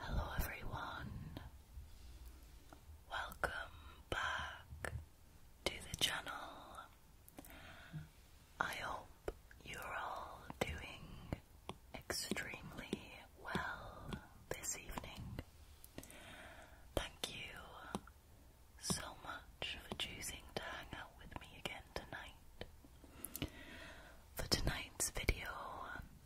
Hello, everyone. Welcome back to the channel. I hope you're all doing extremely well this evening. Thank you so much for choosing to hang out with me again tonight. For tonight's video,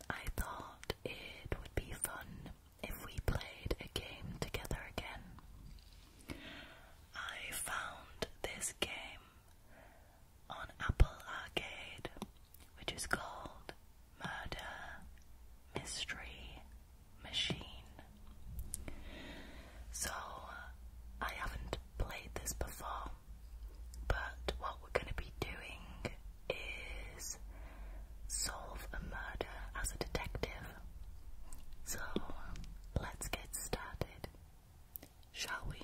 I thought it would be fun if we played a game together again. I found this game on Apple Arcade, which is called Murder Mystery Machine. So, I haven't played this before, but what we're going to be doing is solve a murder as a detective. So, let's get started. Shall we?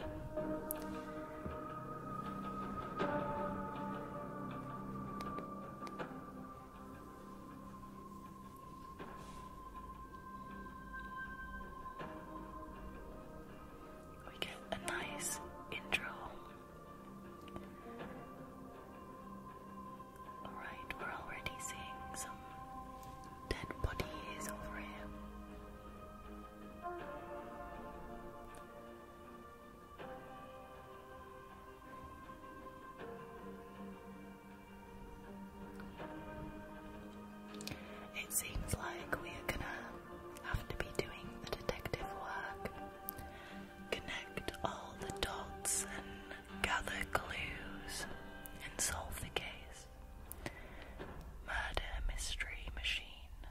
We get a nice intro. Alright, we're already seeing some dead bodies over here. It seems like we are gonna have to be doing the detective work, connect all the dots and gather clues and solve the case. Murder Mystery Machine.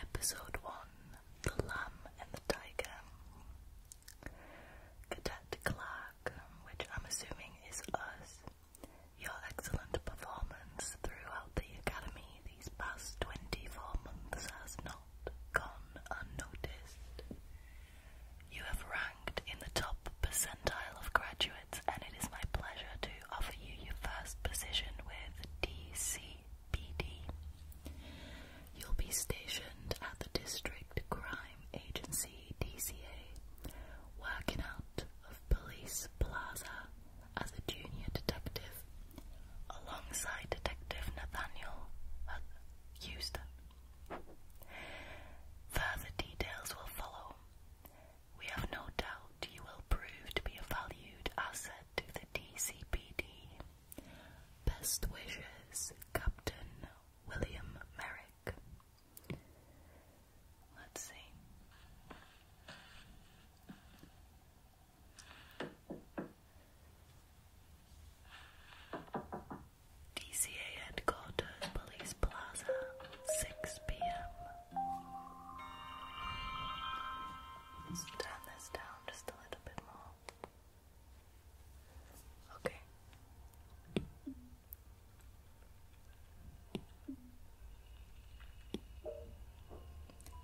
Episode 1 The Lamb and the Tiger. Cadet Clark, which I'm assuming is us, your excellent performance throughout the Academy these past 24 months has not gone unnoticed. You have ranked in the top percentile of graduates, and it is my pleasure to offer you your first position with DCPD. You'll be stationed at the District Crime Agency DCA, working out of Police Plaza as a junior detective alongside Detective Nathaniel uh, Houston. Further details will follow. We have no doubt you will prove to be a valued asset to the DCPD. Best wishes, Captain William Merrick. Let's see. DCA headquarters, Police Plaza, 6 p.m. turn this down just a little bit more. Okay.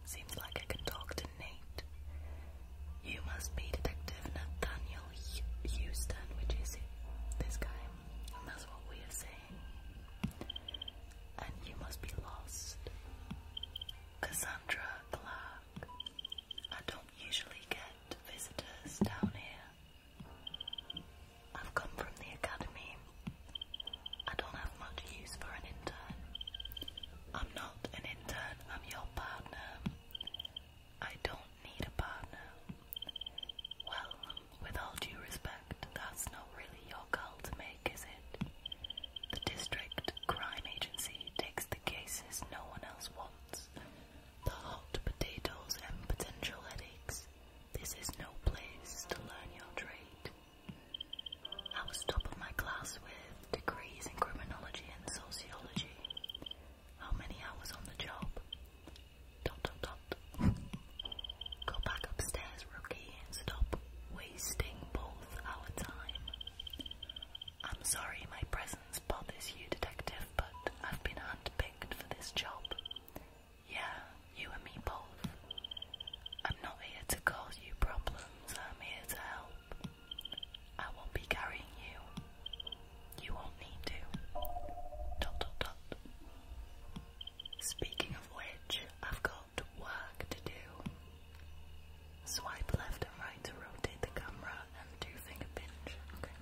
Seems like I can talk to Nate. You must be Detective Nathaniel Houston, which is this guy, and that's what we are saying. And you must be lost. Cassandra Clark. I don't usually get visitors down here. I've come from the academy. I don't have much use for an intern. I'm not an intern, I'm your partner. I don't need a partner. Well, with all due respect, that's not really your call to make, is it? The district crime agency takes the cases no one else wants. The hot potatoes and potential headaches. This is no place to learn your trade. I was top of my class with degrees in criminology and sociology. How many hours on the job? Dot dot dot. Go back upstairs, rookie, and stop wasting both our time. I'm sorry my presence bothers you, detective, but I've been handpicked for this job. Yeah, you and me both. I'm not here to cause you problems, I'm here to help. I won't be carrying you. You won't need to. Dot dot dot. Speaking of which, I've got work to do. Swipe left and right to rotate the camera and do finger pinch. Okay.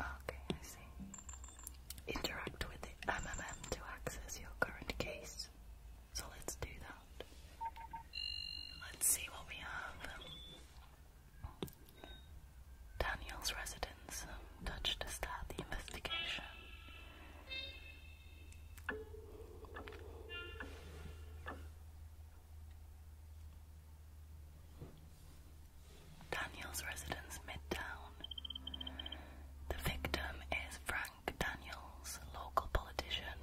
Okay, I see. Interact with the MMM to access your current case. So let's do that. Let's see what we have. Daniel's residence touched to start the investigation. Daniel's residence midtown. The victim is Frank Daniels, local politician.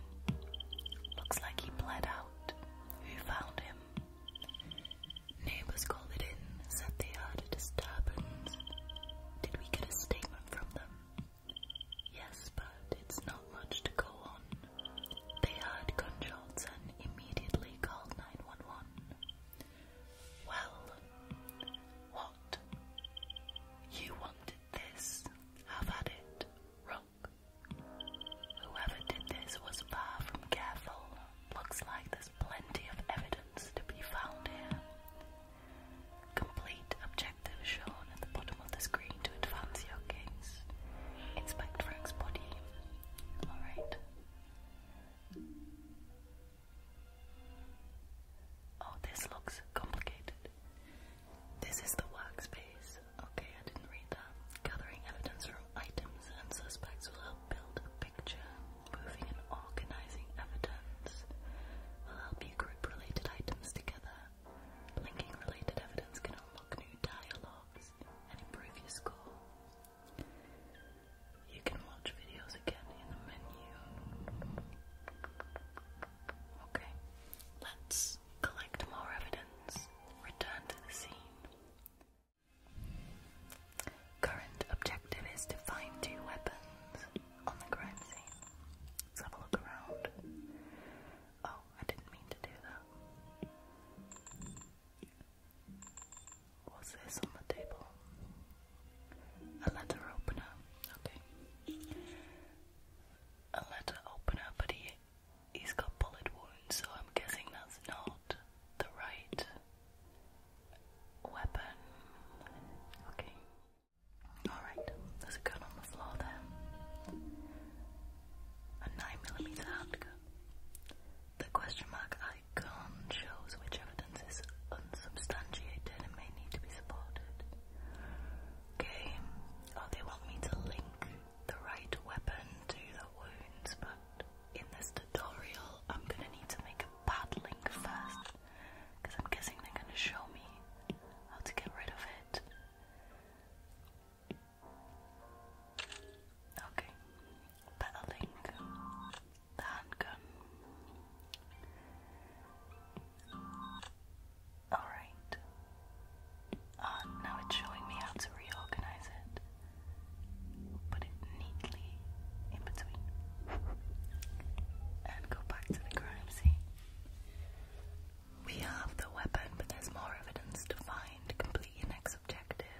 Looks like he bled out out who found him. Neighbours called it in, said they heard a disturbance. Did we get a statement from them? Yes, but it's not much to go on. They heard gunshots and immediately called 911. Well, what? You wanted this. Have at it. Roll Whoever did this was far from careful. Looks like there's plenty of evidence to be found here. Complete objective shown at the bottom of the screen to advance your case. Inspect Frank's body. Alright. Oh, this looks complicated. This is the workspace. Okay, I didn't read that. Gathering evidence from items and suspects will help build a picture. Moving and organizing evidence will help you group related items together. Linking related evidence can unlock new dialogues and improve your score. You can watch videos again in the menu. Okay, let's collect more evidence, return to the scene. Current objective is to find two weapons on the crime scene. Let's have a look around. Oh, I didn't mean to do that. What's this on the table? A letter opener. Okay. A letter opener, but he He's got bullet wounds, so I'm guessing that's not the right weapon. Okay. Alright, there's a gun on the floor there. A 9mm handgun. The question mark icon shows which evidence is unsubstantiated and may need to be supported. Okay. Oh, they want me to link the right weapon to the wounds, but in this tutorial I'm gonna need to make a battling first, because I'm guessing they're gonna show me how to get rid of it. Okay, battling, the handgun. Alright, Ah, now it's showing me how to reorganize it. Put it neatly in between. And go back to the crime scene. We have the weapon, but there's more evidence to find. Complete next objective.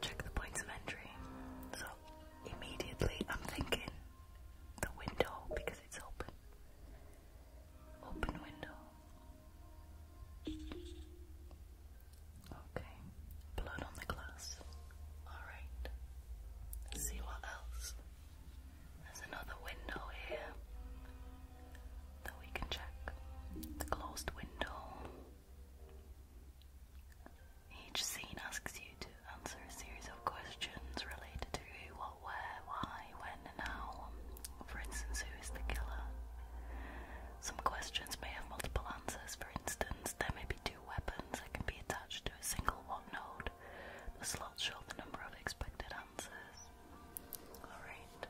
Check the points of entry. So, immediately I'm thinking the window because it's open open window. Okay, blood on the glass. Alright, see what else. There's another window here that we can check. It's closed window. Each scene asks you to answer a series of questions related to who, what, where, why, when and how. Um, for instance, who is the killer? Some questions may have multiple answers. For instance, there may be two weapons that can be attached to a single one node. The slots show the number of expected answers. Alright.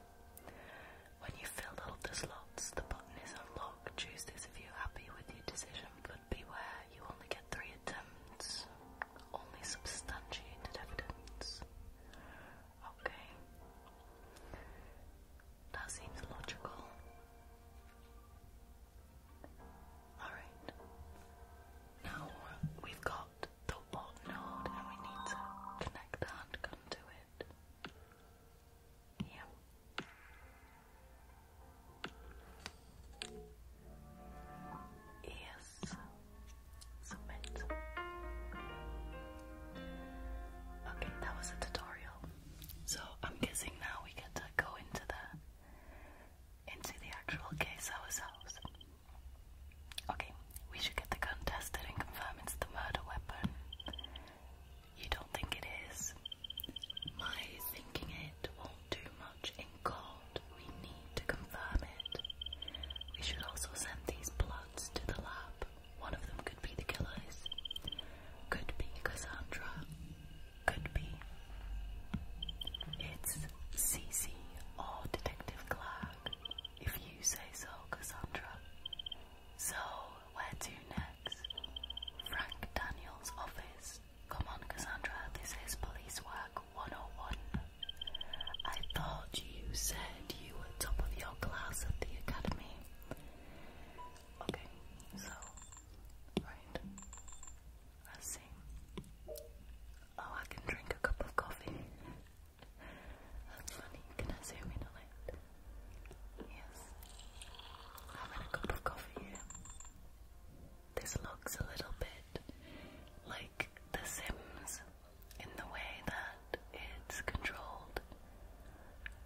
When you fill all the slots, the button is unlocked. Choose this if you're happy with your decision, but beware, you only get three attempts. Only substantiated evidence. Okay. That seems logical. Alright. Now we've got the what node and we need to connect that gun to it. Yeah. Yes. Okay, that was a tutorial. So I'm guessing now we get to go into the into the actual case ourselves. Okay, we should get the gun tested and confirm it's the murder weapon. You don't think it is? My thinking it won't do much in court. We need to confirm it. We should also send these bloods to the lab. One of them could be the killers. Could be Cassandra. Could be. It's Cece or Detective Clark. If you say so, Cassandra. So, where to next? Frank Daniels' office. Come on, Cassandra, this is police work 101. I thought you said you top of your class at the academy. Okay, so, right, let see. Oh, I can drink a cup of coffee. That's funny. Can I zoom in on Yes. i a cup of coffee This looks a little bit like The Sims in the way that it's controlled.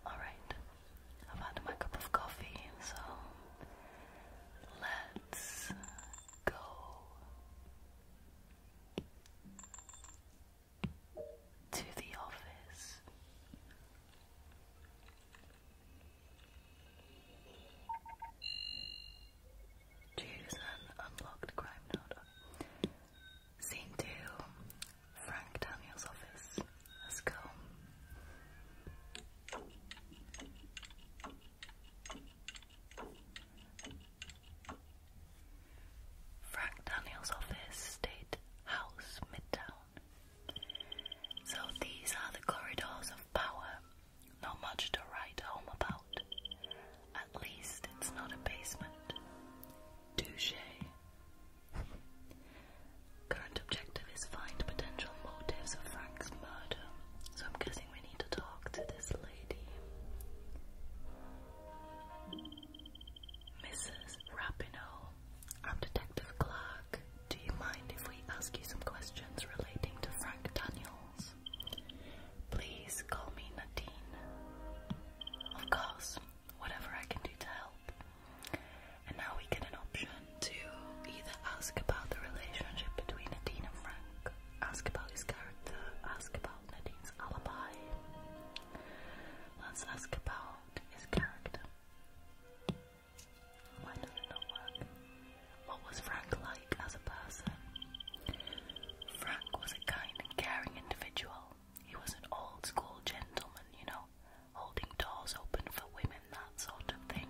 Alright, I've had my cup of coffee, so let's go. To the office. Choose an unlocked crime note. Scene 2, Frank Daniel's office. Let's go. Frank Daniel's office, State House, Midtown. So these are the corridors of power. Not much to write home about. At least it's not a basement. Touche. Current objective is find potential motives of Frank's murder. So I'm guessing we need to talk to this lady. Mrs. Rapinoe, I'm Detective Clark. Do you mind if we ask you some questions relating to Frank Daniels? Please call me Nadine. Of course, whatever I can do to help. And now we get an option to either ask about the relationship between Nadine and Frank, ask about his character, ask about Nadine's alibi. Let's ask about his character. Why did it not work? What was Frank like as a person? Frank was a kind and caring individual. He was an old school gentleman, you know, holding doors open for women, that sort of thing.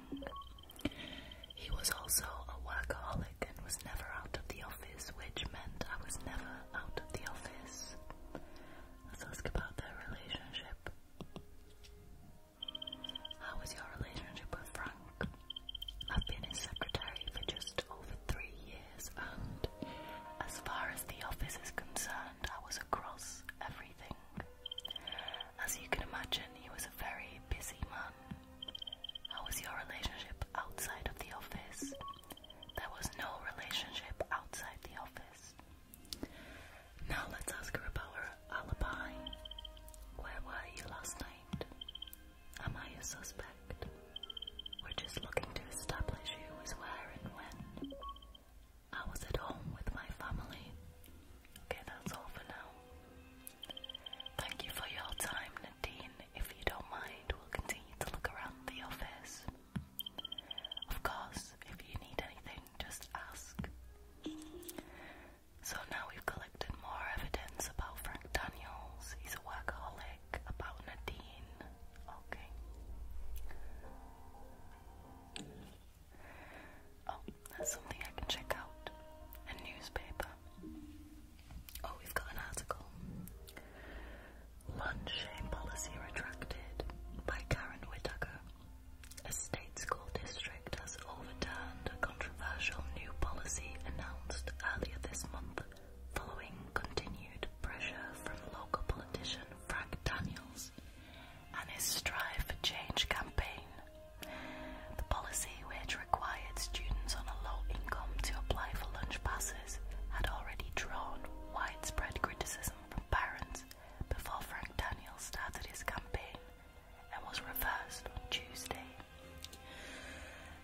He was also a workaholic and was never out of the office, which meant I was never out of the office. Let's ask about their relationship. How was your relationship with Frank? I've been his secretary for just over three years and as far as the office is concerned, I was across everything. As you can imagine, he was a very busy man. How was your relationship outside of the office? There was no relationship outside the office. Now let's ask her about her alibi. Where were you last night? Am I a suspect? We're just looking to establish who was where and when. I was at home with my family. Okay, that's all for now. Thank you for your time, Nadine. If you don't mind, we'll continue to look around the office. Of course, if you need anything, just ask. So now we've collected more evidence about Frank Daniels. He's a workaholic, about Nadine, Okay. Oh, that's something I can check out. A newspaper. Oh, we've got an article. Lunch-shame policy retracted by Karen Whittaker. A state school district has overturned a controversial new policy announced earlier this month following continued pressure from local politicians Frank Daniels and his Strive for Change campaign. The policy, which required students on a low income to apply for lunch passes, had already drawn widespread criticism from parents before Frank Daniels started his campaign and was reversed on Tuesday.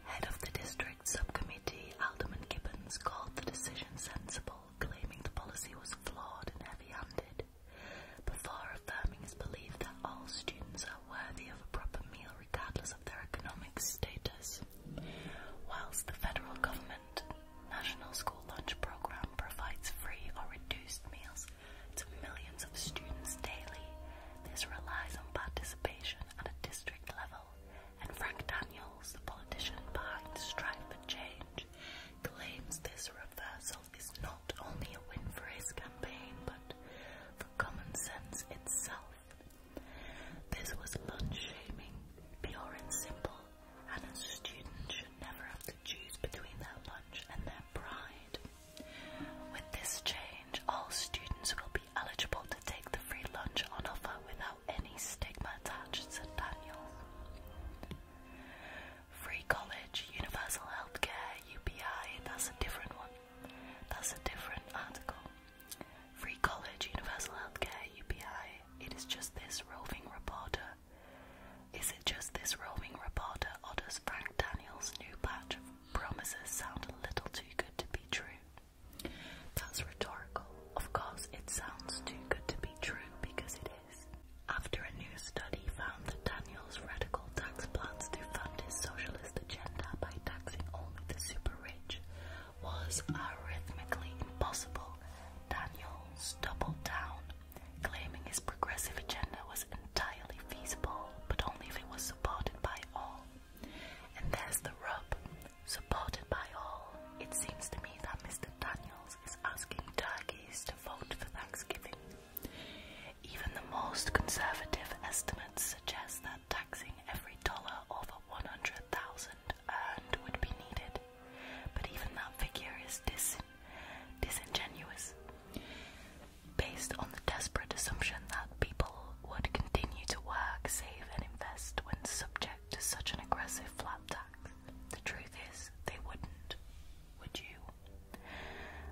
Head of the district subcommittee, Alderman Gibbons, called the decision sensible claiming the policy was flawed and heavy-handed, before affirming his belief that all students are worthy of a proper meal regardless of their economic status. Whilst the federal government National School Lunch Programme provides free or reduced meals to millions of students daily, this relies on participation at a district level and Frank Daniels, the politician behind the strike for Change, claims this reversal is not only a win for his campaign, but for common sense itself. This was lunch shaming, pure and simple, and a student should never have to choose between their lunch and their pride. With this change, all students will be eligible to take the free lunch on offer without any stigma attached, to Daniel. Free college, universal healthcare, UPI, that's a different one. That's a different article. Free college, universal healthcare, UPI, it is just this roving reporter. Is it just this roving reporter, or does Frank Daniel's new batch of promises sound a little too good to be true? That's rhetorical. Of course, it sounds too good to be true because it is. After a new study found that Daniel's radical tax plans to fund his socialist agenda by taxing only the super rich was arithmetically impossible, Daniel doubled down, claiming his progressive agenda was entirely feasible but only if it was supported by all. And there's the rub supported by all. It seems to me that Mr. Daniels is asking turkeys to vote for Thanksgiving. Even the most conservative estimates suggest that taxing every dollar over 100,000 earned would be needed, but even that figure is disingenuous. Based on the desperate assumption that people would continue to work, save, and invest when subject to such an aggressive flat tax? The truth is, they wouldn't. Would you?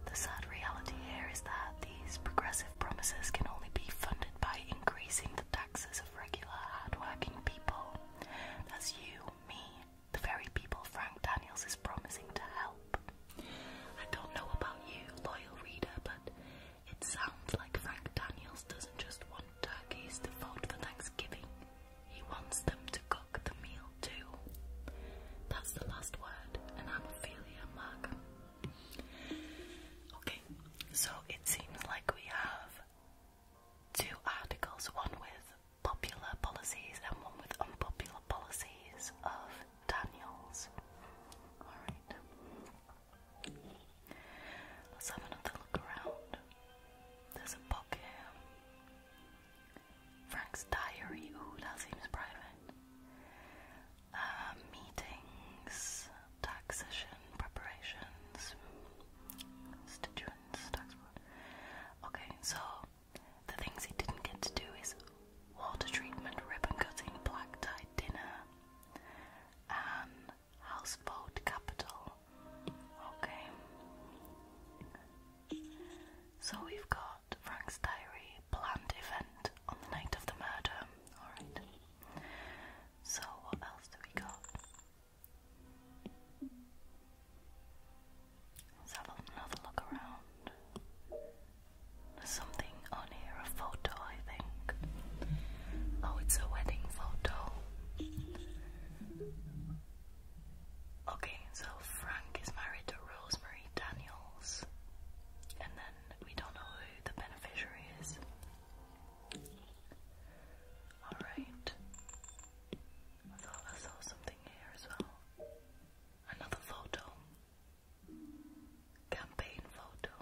The sad reality here is that these progressive promises can only be funded by increasing the taxes of regular, hardworking people. That's you, me, the very people Frank Daniels is promising to help. I don't know about you, loyal reader, but it sounds like Frank Daniels doesn't just want turkeys to vote for Thanksgiving. He wants them to cook the meal too. That's the last word, and I'm Ophelia Mark. Okay, so it seems like we have two articles, one with popular policies and one with unpopular policies of Daniels. Alright. Let's have another look around. There's a book here. Frank's diary. Oh, that seems private. Uh, meetings, taxation, preparations, constituents, Okay, so the things he didn't get to do is water treatment, ribbon cutting, black tie dinner, and house capital. Okay. So we've got Frank's diary, planned event on the night of the murder. Alright. So what else do we got? Let's have another look around. There's something on here, a photo, I think. Oh, it's a wedding photo. Okay, so Frank is married to Rosemary Daniels, and then we don't know who the beneficiary is. Alright. I saw something here as well. Another photo. Campaign photo.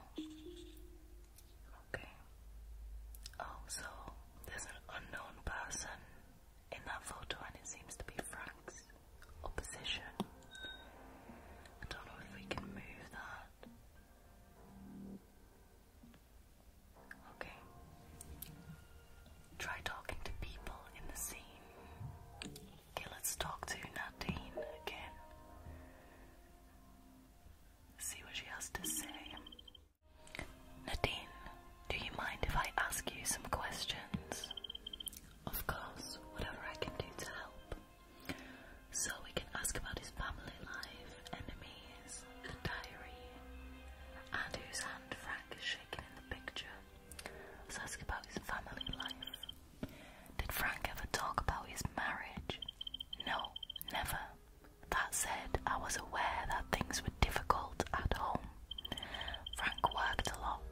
Okay. Oh, so there's an unknown person in that photo, and it seems to be Frank's opposition. I don't know if we can move that. Okay. Try talking to people in the scene. Okay, let's talk to Nadine again. See what she has to say. Nadine, do you mind if I ask you some questions? Of course, whatever I can do to help. So we can ask about his family life, enemies, the diary, and whose hand Frank is shaking in the picture. Let's ask about his family life. Did Frank ever talk about his marriage? No, never. That said, I was aware that things were difficult at home. Frank worked a lot.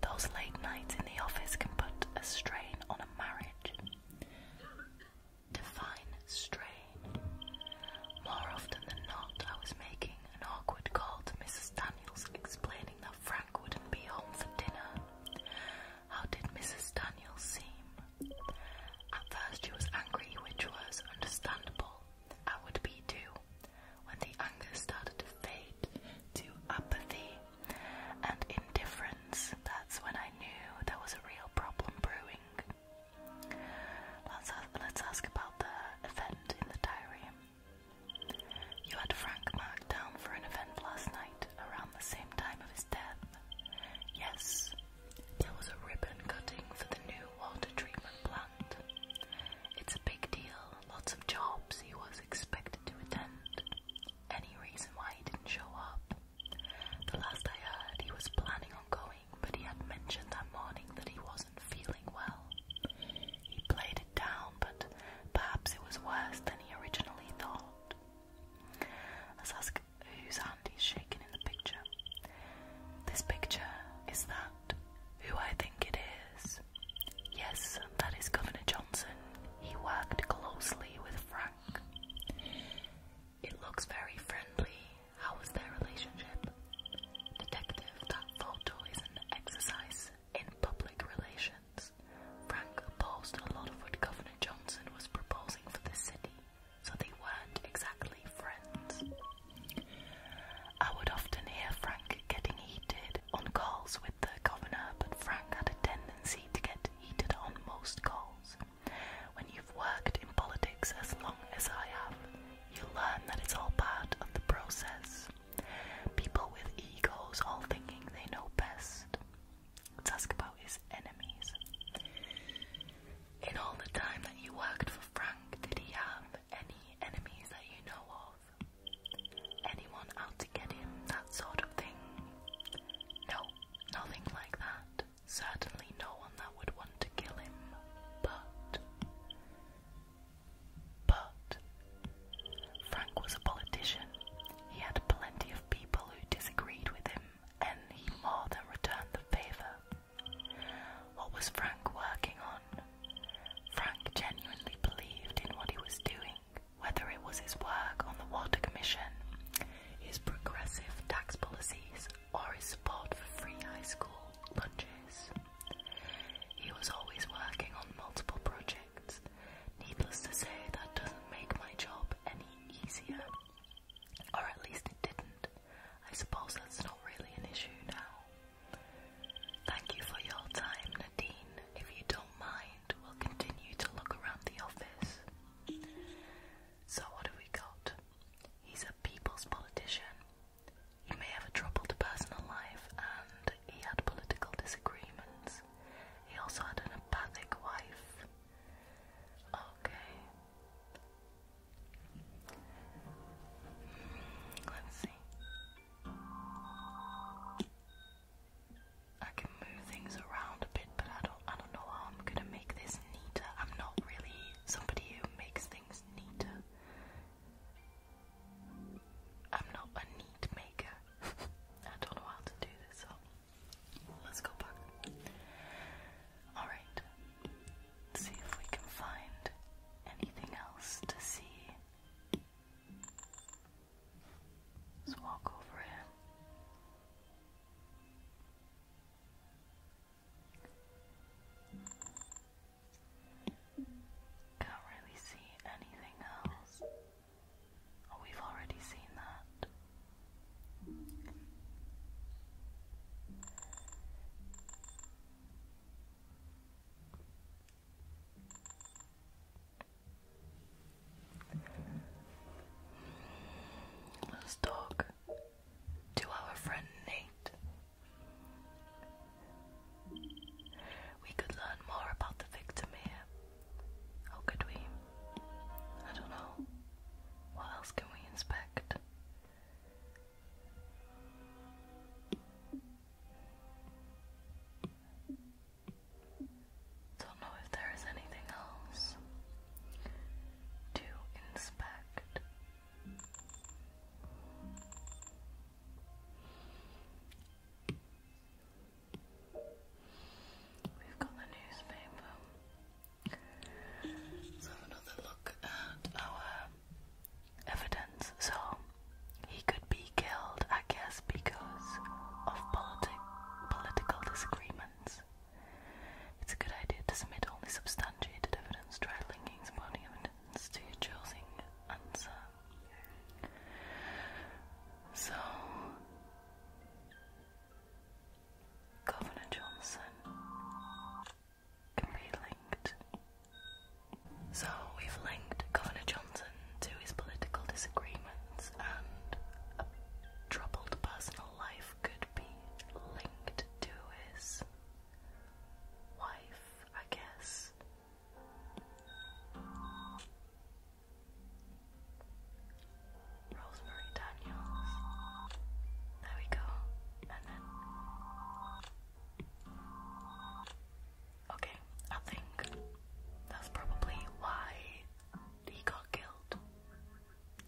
Those late nights in the office can put a strain on a marriage. Define strain. More often than not, I was making an awkward call to Mrs. Daniels explaining that Frank wouldn't be home for dinner. How did Mrs. Daniels seem? At first, she was angry, which was understandable. I would be too when the anger started to fade to apathy and indifference. That's when I knew there was a real problem brewing. Let's, let's ask about the event in the diary. You had Frank marked down for an event last night around the same time of his death. Yes, there was a ribbon cutting for the new water treatment plant. It's a big deal, lots of jobs he was expected to attend. Any reason why he didn't show up? The last I heard, he was planning on going, but he had mentioned that morning that he wasn't feeling well. He played it down, but perhaps it was worse than he originally thought. Let's ask whose hand he's shaking in the picture. This picture is that who I think it is? Yes, that is Governor Johnson. He worked closely with Frank. It looks very friendly. How was their relationship? Detective, that photo is an exercise in public relations. Frank opposed a lot of what Governor Johnson was proposing for the city, so they weren't exactly friends. I would often hear Frank getting heated on calls with the governor, but Frank had a tendency to get heated on most calls. When you've worked in politics as long as I have, you learn that it's all part of the process. People with egos all thinking they know best. Let's ask about his enemies. In all the time that you worked for Frank, did he have any enemies that you know of? Anyone out to get him, that sort of thing? No, nothing like that. Certainly no one that would want to kill him. But. But. Frank was a politician. He had plenty of people who disagreed with him, and he more than returned the favour. What was Frank working on? Frank genuinely believed in what he was doing, whether it was his work on the Water Commission, his progressive tax policies, or his support for free high school lunches. He was always working on multiple projects. Needless to say, that doesn't make my job any easier. Or at least it didn't. I suppose that's not really an issue now. Thank you for your time, Nadine. If you don't mind, we'll continue to look around the office. So, what have we got? He's a people's politician. He may have a troubled personal life and he had political disagreements. He also had an apathic wife. Okay. Let's see. I can move things around a bit, but I don't I don't know how I'm gonna make this neater. I'm not really somebody who makes things neater. I'm not a neat maker. I don't know how to do this, let's go back. Alright see if we can find anything else to see. Let's walk over here. Can't really see anything else. Oh, we've already seen that. Let's talk to our friend Nate. We could learn more about the victim here. How could we? I don't know. What else can we inspect? Don't know if there is anything else to inspect. We've got the newspaper. Let's have another look at our evidence, so he could be killed, I guess, because of politi political disagreements. It's a good idea to submit only substantiated evidence, try linking evidence to your chosen answer. So, Governor Johnson can be linked. So we've linked Governor Johnson to his political disagreements and a troubled personal life could be linked to his wife, I guess. Rosemary Daniels. There we go. And then Okay, I think that's probably why he got killed.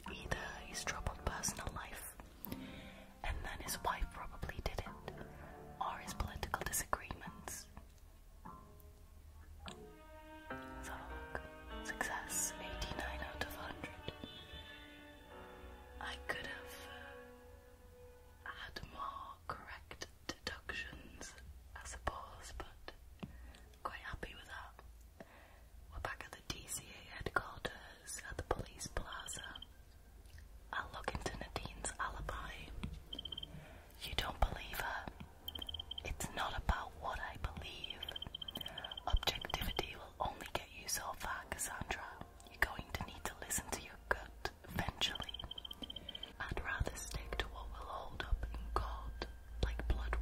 Either his troubled personal life, and then his wife probably did it, or his political disagreements. So look, success 89 out of 100. I could have uh, had more correct deductions, I suppose, but quite happy with that. We're back at the DCA headquarters at the police plaza. I'll look into Nadine's alibi. You don't believe her. It's not about what I believe. Objectivity will only get you so far, Cassandra. You're going to need to listen to your gut eventually. I'd rather stick to what will hold up in court, like blood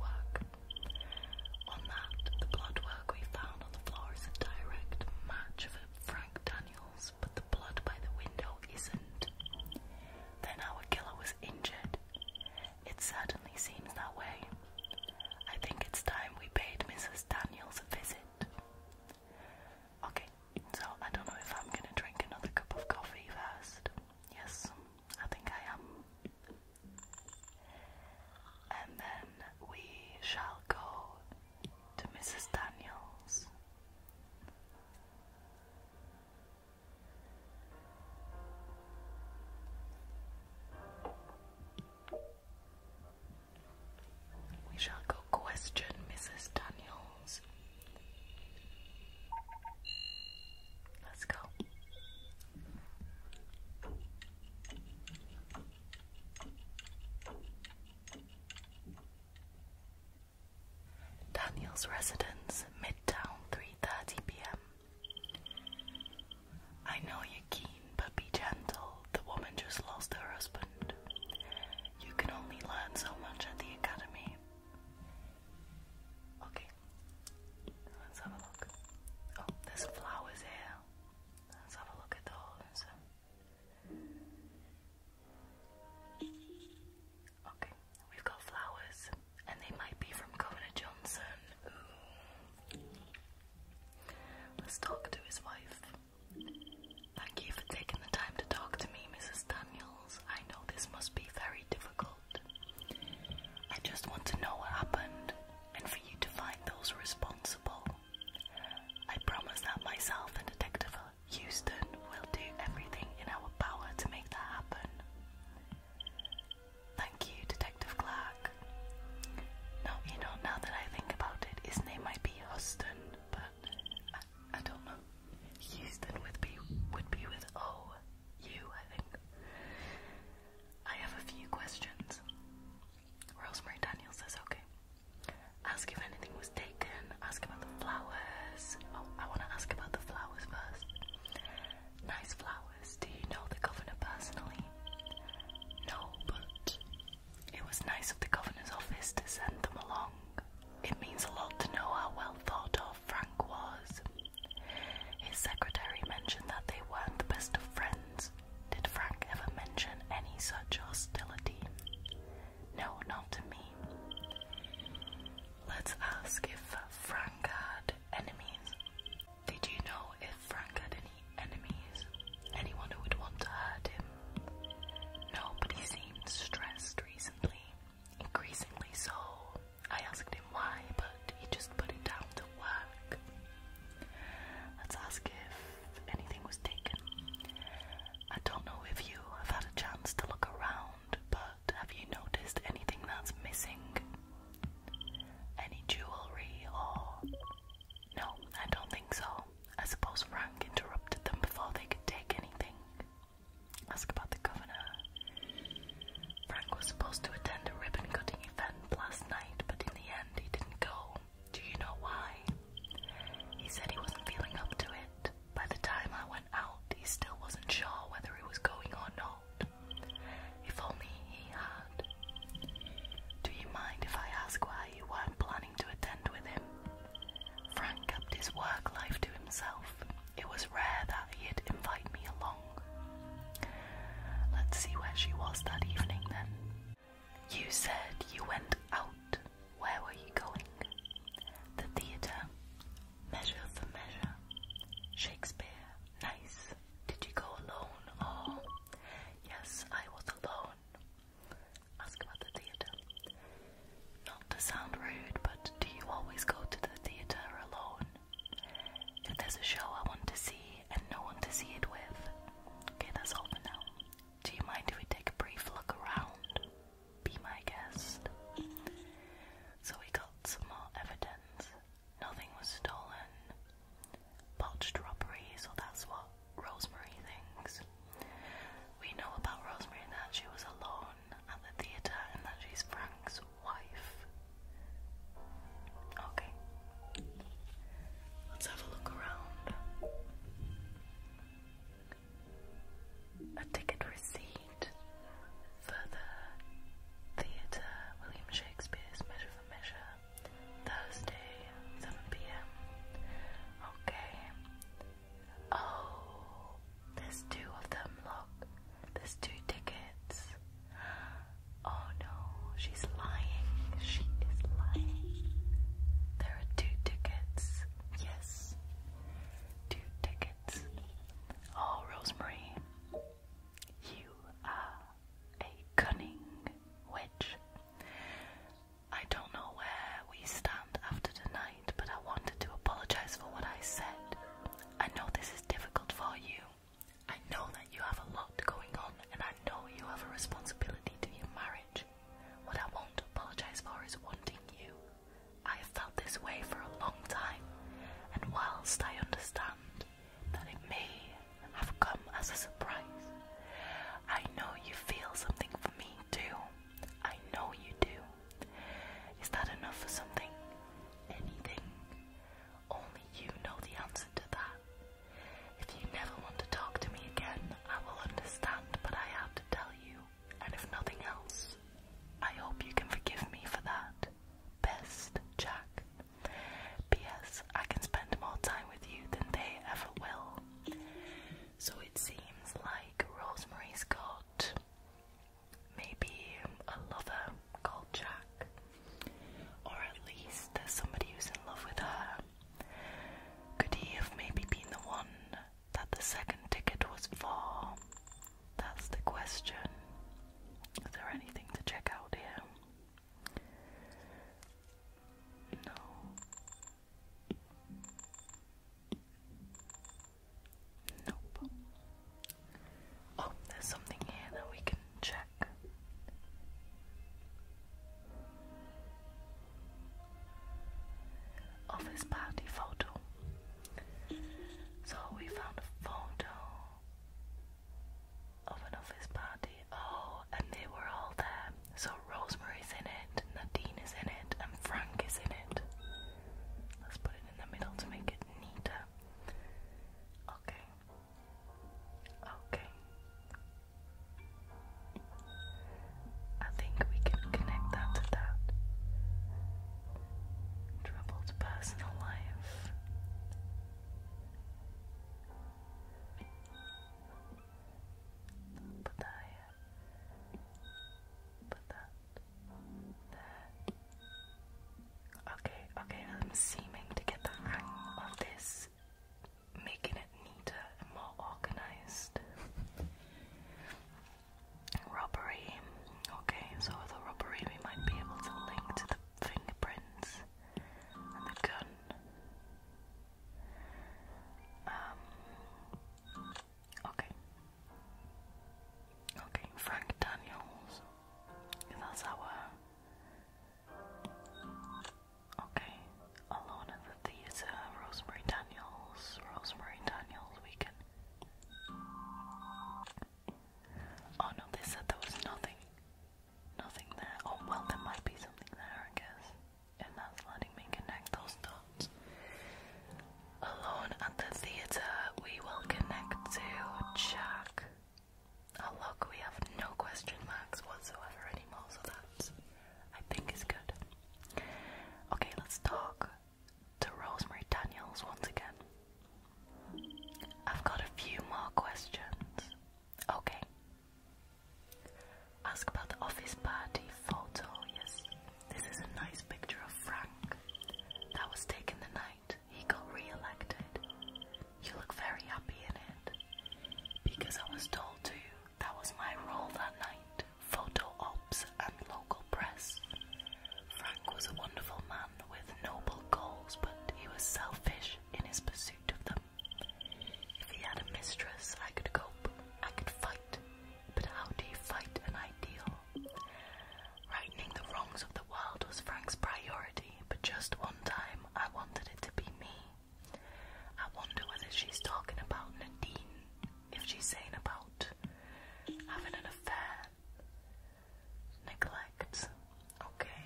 On that, the blood we found on the floor is a direct match for Frank Daniels, but the blood by the window isn't. Then our killer was injured. It certainly seems that way. I think it's time we paid Mrs. Daniels a visit. Okay, so I don't know if I'm gonna drink another cup of coffee first. Yes, I think I am. And then we shall go to Mrs. Daniels. We shall go question Mrs. Daniels. Let's go. Daniel's residence, Midtown, 3.30pm. I know you're keen, but be gentle. The woman just lost her husband. You can only learn so much at the academy. Okay, let's have a look. Oh, there's flowers here. Let's have a look at those. Okay, we've got flowers, and they might be from Governor Johnson. Let's talk to his wife. Thank you for taking the time to talk to me, Mrs. Daniels. I know this must be very difficult. I just want to know what happened and for you to find those responsible. I promise that myself and Detective Houston will do everything in our power to make that happen. Thank you, Detective Clark. Now, you know, now that I think about it, his name might be Houston, but I, I don't know. Houston would be would be with O U, I think. I have a few questions. Rosemary Daniel says, okay. Ask if anything was taken. Ask about the flowers. Oh, I want to ask about the flowers first. Nice flowers. Do you know the governor personally? No, but it was nice of the governor's office to send them along. It means a lot to know how well thought of Frank was. His secretary mentioned that they weren't the best of friends. Did Frank ever mention any such hostility? No, not to me. Let's ask if Frank had enemies. Did you know if Frank had any enemies? Anyone who would want to hurt him? Nobody seemed stressed recently, increasingly so. I asked him why, but he just put it down to work. Let's ask if anything was taken. I don't know if you have had a chance to look around, but have you noticed anything that's missing? Any jewelry or. No, I don't think so. I suppose Frank interrupted them before they could take anything. Ask about the governor. Frank was supposed to attend a ribbon cutting event last night, but in the end he didn't go. Do you know why? He said he wasn't feeling up to it. By the time I went out, he still wasn't sure whether he was going or not. If only he had. Do you mind if I ask why you weren't planning to attend with him? Frank kept his work life to himself. It was rare that he'd invite me along. Let's see where she was that evening then. You said you went out. Where were you going? The theatre. Measure for measure. Shakespeare. Nice. Did you go alone Oh, Yes, I was alone ask about the theatre. Not to sound rude, but do you always go to the theatre alone? If there's a show I want to see and no one to see it with, okay, that's all for now. Do you mind if we take a brief look around? Be my guest. So we got some more evidence. Nothing was stolen. Botched robbery, so that's what Rosemary thinks. We know about Rosemary and that she was alone at the theatre and that she's Frank's wife. Okay. Let's have a look around. A ticket receipt for the theatre, William Shakespeare's Measure for Measure, Thursday, 7pm. Okay. Oh, there's two of them, look. There's two tickets. Oh no, she's lying. She is lying. There are two tickets. Yes. Two tickets. Oh, Rosemary, you are a cunning witch. I don't know where we stand after tonight but I wanted to apologize for what I said. I know this is difficult for you. I know that you have a lot going on, and I know you have a responsibility to your marriage. What I want to apologize for is wanting you. I have felt this way for a long time, and whilst I understand that it may have come as a surprise, I know you feel something for me too. I know you do. Is that enough for something? Anything? Only you know the answer to that. If you never want to talk to me again, I will understand, but I have to tell you. And if nothing else, I hope you can forgive me for that. Best, Jack. P.S. I can spend more time with you than they ever will. So it seems like Rosemary's got maybe a lover called Jack, or at least there's somebody who's in love with her. Could he have maybe been the one that the second ticket was for? That's the question. Is there anything to check out here? No. Nope. Oh, there's something here that we can check. Office party photo. So we found a photo of an office party. Oh, and they were all there. So Rosemary's in it, Nadine is in it, and Frank is in it. Let's put it in the middle to make it neater. Okay. Okay. I think we can connect that to that. Troubled personal life. Put that Put that Okay, okay, I'm seeming to get the hang of this, making it neater and more organized. Rubbery. Okay, so with a robbery, we might be able to link to the fingerprints and the gun. Um, okay, Okay, Frank Daniels. That's our. Okay, Alone at the Theatre, Rosemary Daniels, Rosemary Daniels Weekend. Oh no, they said there was nothing. Nothing there. Oh well, there might be something there, I guess. And that's letting me connect those dots. Alone at the theatre, we will connect to Jack. look, we have no question marks whatsoever anymore, so that I think is good. Okay, let's talk to Rosemary Daniels once again. I've got a few more questions. Okay. Ask about the office party photo, yes. This is a nice picture of Frank. That was taken the night he got re-elected. You look very happy in it. Because I was told to. That was my role that night. Photo ops and local press. Frank was a wonderful man with noble goals, but he was selfish in his pursuit of them. If he had a mistress, I could cope. I could fight. But how do you fight an ideal? Righting the wrongs of the world was Frank's priority, but just one time I wanted it to be me. I wonder whether she's talking about Nadine, if she's saying about having an affair. Neglect. Okay,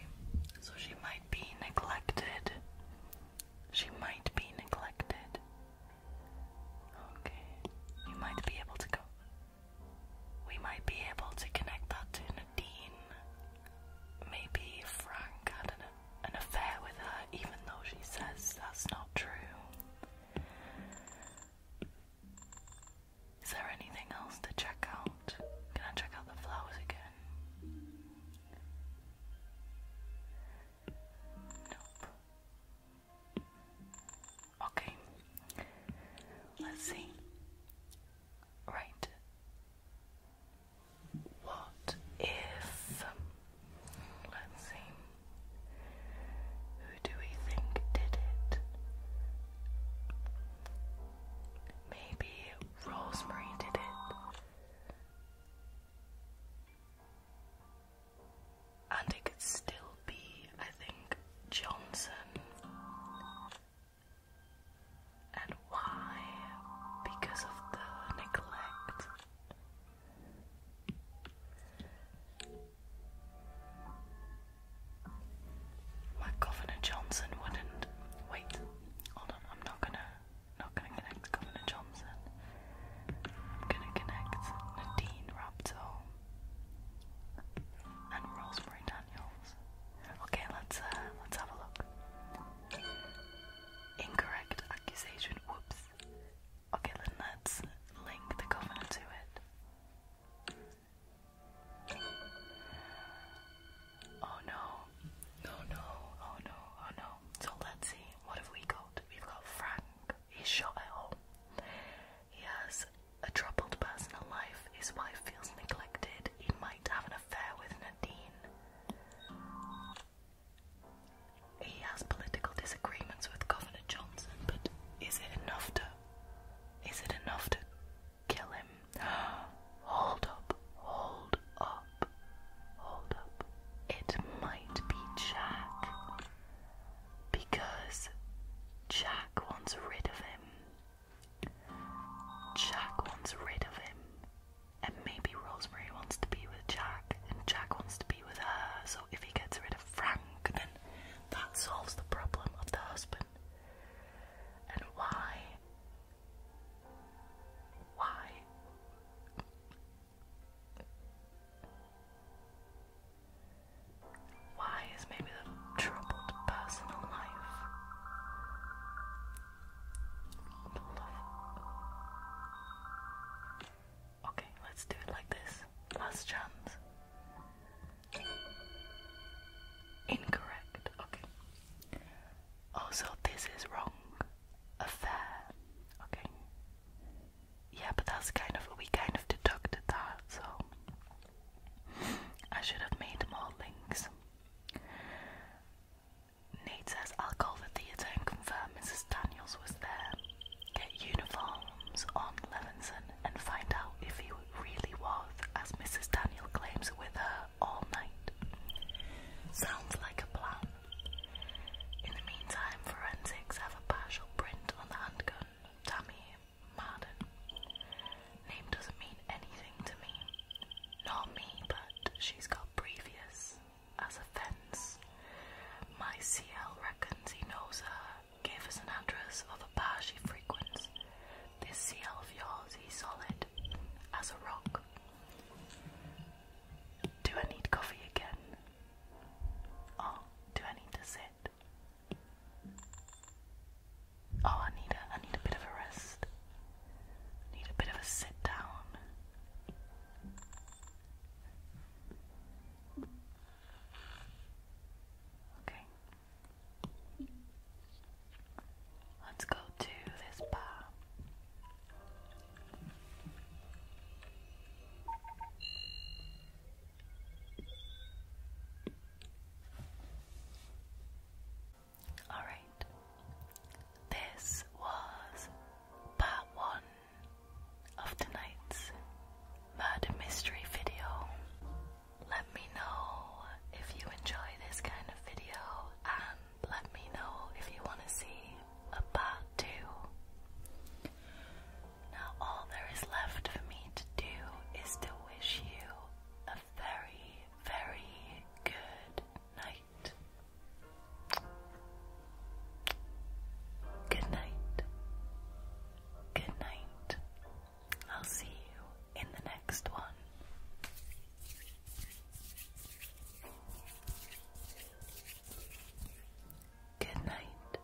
so she might be neglected. She might be neglected. Okay, you might be able to go. We might be able to connect that to Nadine. Maybe Frank had an, affair with her, even though she says that's not true. Is there anything else to check out? Can I check out the flowers again? Nope. Okay. Let's see. Right. What if let's see. Who do we think did it? Maybe Rosemary did it and it could still be, I think, Johnson. And why? Because of the neglect. My Governor Johnson wouldn't wait. Hold on, I'm not gonna not gonna connect Governor Johnson. I'm gonna connect Nadine Raptor and Rosemary Daniels. Okay, let's uh, let's have a look. Incorrect accusation. Whoops. Okay, then let's link the governor to it. Oh no. No, no. Oh no. Oh no. So let's see. What have we got? We've got Frank. He's shot at home. He has a troubled personal life. His wife feels neglected. He might have an affair with Nadine. He has political disagreements with Governor Johnson, but is it enough to is it enough to kill him? hold up, hold up, hold up. It might be Jack because Jack wants rid of him. Jack wants rid of him. And maybe Rosemary wants to be with Jack, and Jack wants to be with her. So if he gets rid of Frank, then that solves the problem of the husband. And why? Why? Why is maybe the troubled personal life full of. Okay, let's do it like this. Last chance. Incorrect. Okay. Also, oh, this is wrong. Affair. Okay. Yeah, but that's kind of. We kind of deducted that, so. I should have made more links. Nate says, I'll call the theatre and confirm Mrs. Daniels was there. Get uniforms on Levinson and find out if he really was, as Mrs. Daniel claims, with her all night. Sounds like a plan. In the meantime, forensics have a partial print on the handgun. Tammy Marden. Name doesn't mean anything to me. Not me, but she's got previous as a fence. My CL reckons he knows her, gave us an address of a bar she frequents. This CL of yours, he's solid as a rock. Do I need coffee again? Or do I need to sit? Oh, I need a I need a bit of a rest. need a bit of a sit down. Okay. Let's go to this bar. Alright, this was part one of tonight's murder mystery video. Let me know if you enjoy this kind of video and let me know if you want to see a part two. Now, all there is left for me to do is to wish you a very, very good night. Good night. Good night. I'll see you in the next one. Good night.